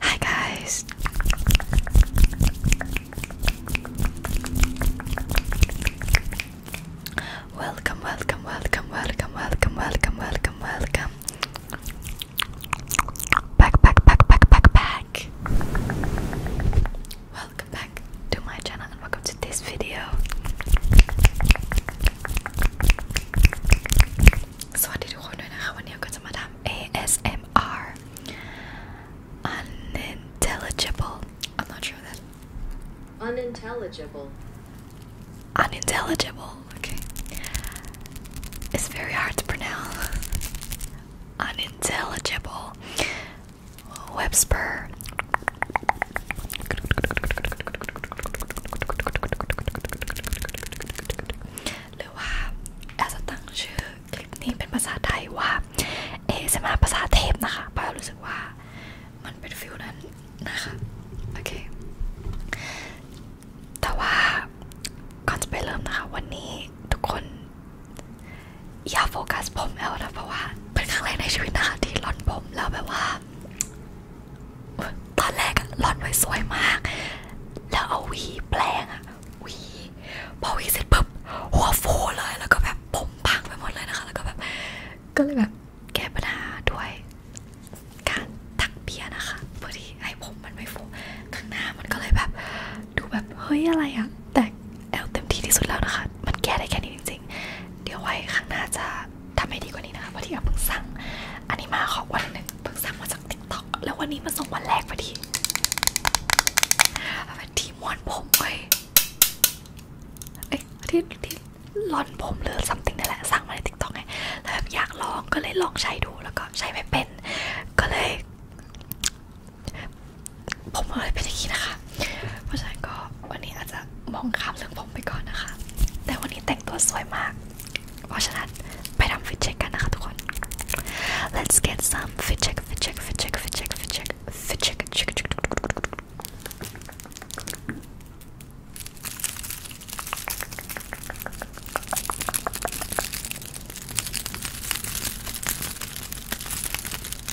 Hi guys. Welcome, welcome, welcome, welcome, welcome, welcome, welcome, welcome. Back, back, back, back, back, back. Welcome back to my channel and welcome to this video to สวัสดีทุกคนด้วยนะคะวันนี้ก็จะมาทำ ASMR unintelligible I'm not sure that unintelligible unintelligible okay it's very hard to pronounce unintelligible Webster หรือว่าแอลจะตั้งชื่อคลิปนี้เป็นภาษาไทยว่า เอสมาภาษาเทพนะคะป้ารู้สึกว่ามันเป็นฟิลนั้นนะคะ โอเคแต่ว่าก่อนจะไปเริ่มนะคะวันนี้ทุกคนอย่าโฟกัสผมแอลนะเพราะว่าเป็นครั้งแรกในชีวิตนะคะที่ร่อนผมแล้วแบบว่าตอนแรกอะหล่อนไว้สวยมาก แล้วเอาวี แปลงอะวี พอวีเสร็จปุ๊บหัวฟูเลยแล้วก็แบบผมพังไปหมดเลยนะคะ แล้วก็แบบก็เลยแบบแก้ปัญหาด้วย การตักเบียร์นะคะเพื่อที่ให้ผมมันไม่ฟูข้างหน้ามันก็เลยแบบ ดูแบบ เฮ้ยอะไรอะแต่แอลเต็มที่ที่สุดแล้วนะคะ มันแก้ได้แค่นี้จริงๆ เดี๋ยวไว้ข้างหน้าจะทำให้ดีกว่านี้นะคะเพราะที่เอาเพิ่งสั่งอันนี้มาขอวันหนึ่งเพิ่งสั่งมาจากติ๊กต็อกแล้ววันนี้มาส่งวันแรกพอดีเป็นที่ม้วนผมเว้ยเอ้ยที่ที่ร่อนผมหรือซัมติงนี่แหละสั่งมาในติ๊กต็อกไงแล้วอยากลองก็เลยลองใช้ดูแล้วก็ใช้ไม่เป็น ก็เลย ผมเลยเป็นอย่างนี้นะคะ เพราะฉะนั้นก็วันนี้อาจจะมองข้ามเรื่องผมไปก่อนนะคะ แต่วันนี้แต่งตัวสวยมากเพราะฉะนั้นไปทำฟิตเช็คกันนะคะทุกคน let's get some fit check fit check fit check fit check fit check fit check check check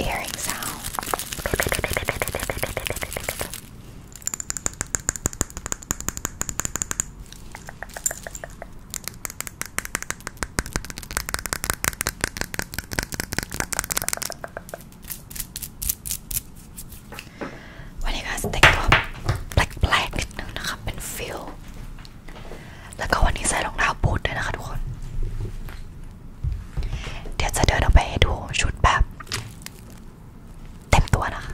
earring sound วันนี้ก็สเต็กก็แปลกๆนิดนึงนะคะเป็นฟิลแล้วก็วันนี้ใส่รองเท้าบูทด้วยนะคะทุกคน เดี๋ยวจะเดินออกไปให้ดูชุดแบบเต็มตัวนะคะ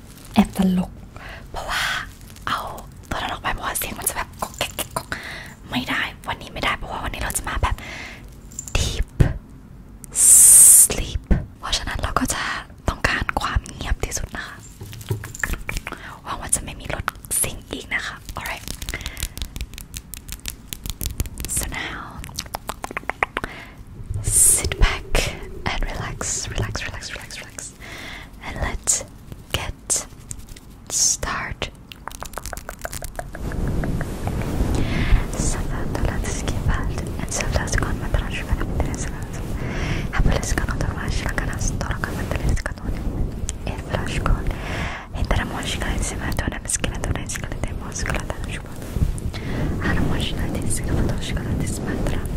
แอบตลกเพราะว่าเอาตัวนั้นออกไปเพราะเสียงมันจะแบบกอกแก๊กก๊อกไม่ได้วันนี้ไม่ได้ เพราะว่าวันนี้เราจะมาแบบ deep sleep เพราะฉะนั้นเราก็จะต้องการความเงียบที่สุดนะคะหวังว่าจะไม่มีรถสิงอีกนะคะ alright so now sit back and relax, relax, relax, relax, relax, and let's get started. الصلاة لا تزكي بعد انسى لا تكون مثلا شبه مدرسة حبل اسكن وطلع شكا ناس طرق مثل اسكتون اثرا شكون اثرا موشكا سمعتونا مسكنة دونا اسكلة موسكلة تنشبه انا موشكا تسكلة توشكلة تسمعترا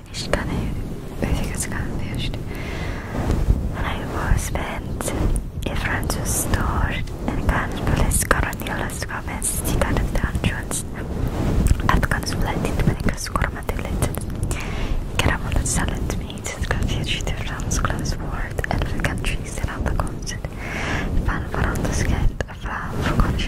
hiç tanıyor, özü And I was spent in Francis store and ganz bless karanyalas comments çıkarıp da anlıyoruz. At ganz blendit beni kız korumadı letet. Karamel salad meat, kafiyeci de Fransız class word, elf countries around the continent. Fan Fransız kent, fan for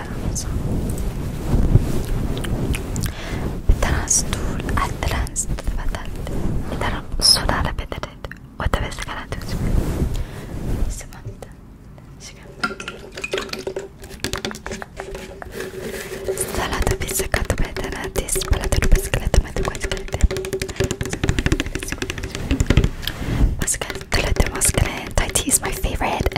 teraz teraz طول الثلاث ثبتت ترى الصورة بدلت وتبس كانت سمعت ثلاثة بيسكات بدلت سبلت البسكلات ما تقعد كنت بس كانت ثلاثة ماسكلين تايتي is my favorite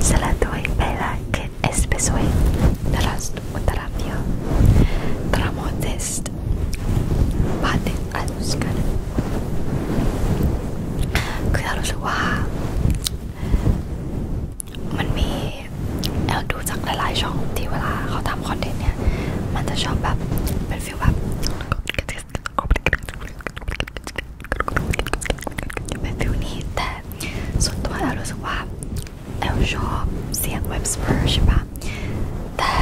سلطوي بلاك اسبسوي درست وترابيا دراموتست بعدين قالوا سكن คือเรารู้สึกว่ามันมีเราดูจากหลายๆช่องที่เวลาเขาทำคอนเทนต์เนี่ยมันจะชอบแบบเป็นฟีลแบบเป็นฟิลนี้แต่ส่วนตัวแอลรู้สึกว่าแอลชอบเสียงเว็บสเปอร์ใช่ปะแต่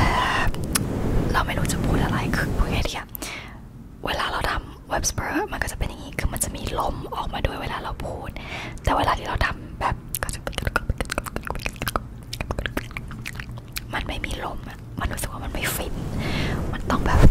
เราไม่รู้จะพูดอะไรคือพูดง่ายๆเวลาเราทำเว็บสเปอร์มันก็จะเป็นอย่างนี้คือมันจะมีลมออกมาด้วยเวลาเราพูดแต่เวลาที่เราทำแบบก็จะมันไม่มีลมมันรู้สึกว่ามันไม่ฟินมันต้องแบบ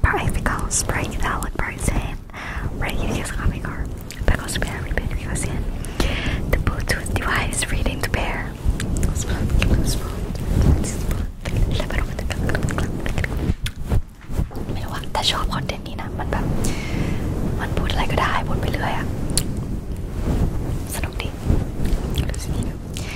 Pra ficar pra evitar o Tarzan, pra crianças caminhar, pegar os pés e pedir você. The Bluetooth device reading the bear. I don't know. ถ้าชอบคอนเทนต์นี้นะมันแบบมันพูดอะไรก็ได้พูดไปเรื่อยอะสนุกดีรู้สึกดี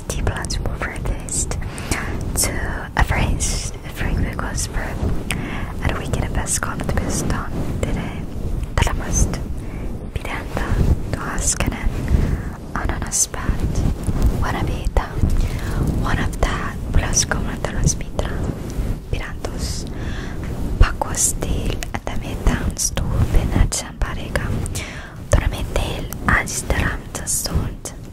is the to a phrase request for and we get a best comment based on today that must be done to ask an ananas bat wanna be one of that plus comment on us mitra pirantos paco steel at the midtown store benach and parega Dormitel, agitarám a szót,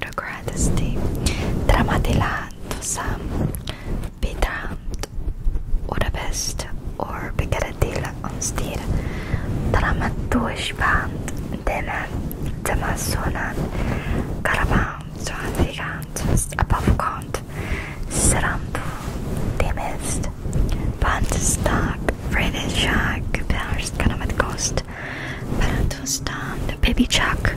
The Dogratisti Dramatiland sam Bidramt Budapest or the or Piccadilly on Steer Dramaturgisch Band Denen the Karaban Zwanzigant Above Count Seramtu Demist Bandestag Friedensschlag Perst Kanamat Ghost the Baby Chuck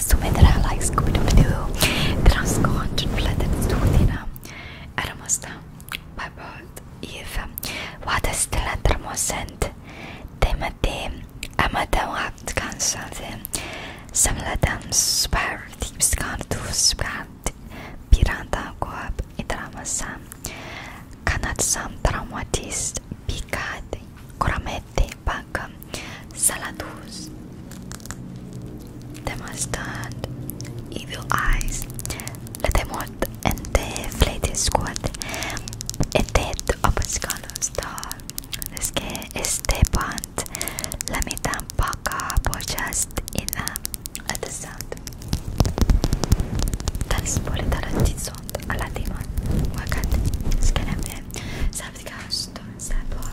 som heter det I like Scooby-Doo. Transkort plädet stod dina ärmosta babot if to stilla termosent Some amata them kansade samladan spär tipskar du spär piranda goab idramasa kanat sam traumatist pikat koramete pak saladus. Demonstrant evil eyes. The demot and the flated squad. A dead of a scarlet star. Let me turn back up or just in at the sound. تنسبوا لدرجة صوت على ديمون وقد سكلمنا سابت كاوستون سابوا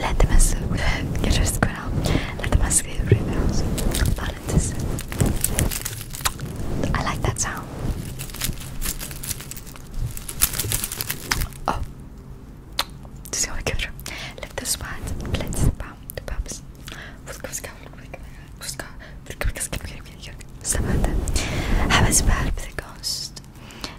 لا تمسوا لا تمسوا I like that sound Oh تسوي كبر لا تسمعت لا تسمع تبابس فسكا فسكا فسكا فسكا فسكا فسكا فسكا فسكا فسكا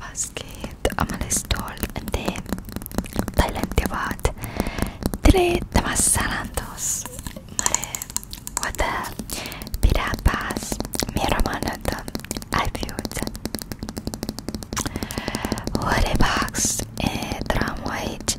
باسكيت أمل ستول انتي تايلاندي بعد تري تمس سالانتوس مري ودا بلا باس ميرا مانوتا البيوت وري باكس تراموايج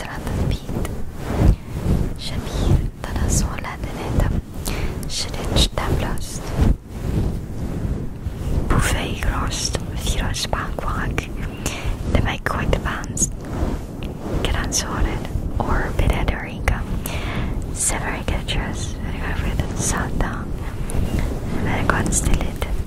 سرعة تثبيت جميل تناسوا لدينا شريتش تابلوست بوفي روست مثيرة سبانك وغاك لما يكون تبانس كران سورد or Pinedarica Severica dress and I got rid of the sound down and I got still it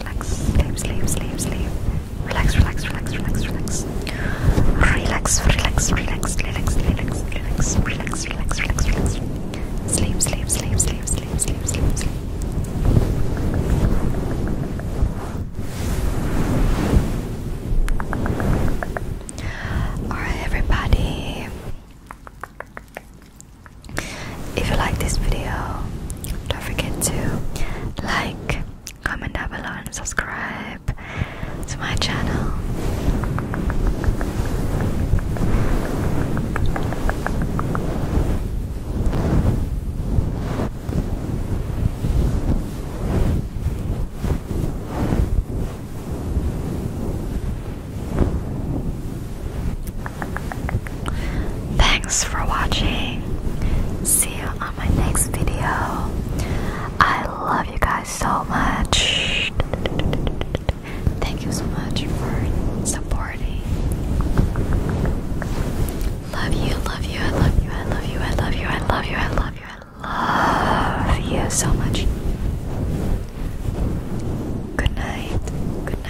relax, relax, sleep, sleep, sleep, sleep. Relax, relax, relax, relax, relax. Relax, relax, relax, relax, relax, relax, relax, relax, relax, relax. Sleep, sleep, sleep, sleep, sleep, sleep, sleep, sleep. Alright everybody. If you like this video, don't forget to like, comment down below, and subscribe to my channel. Thanks for watching. See you on my next video. I love you guys so much. Thank you so much for supporting. Love you, love you, I love you, I love you, I love you, I love you, I love you, I love you so much. Good night. Good night.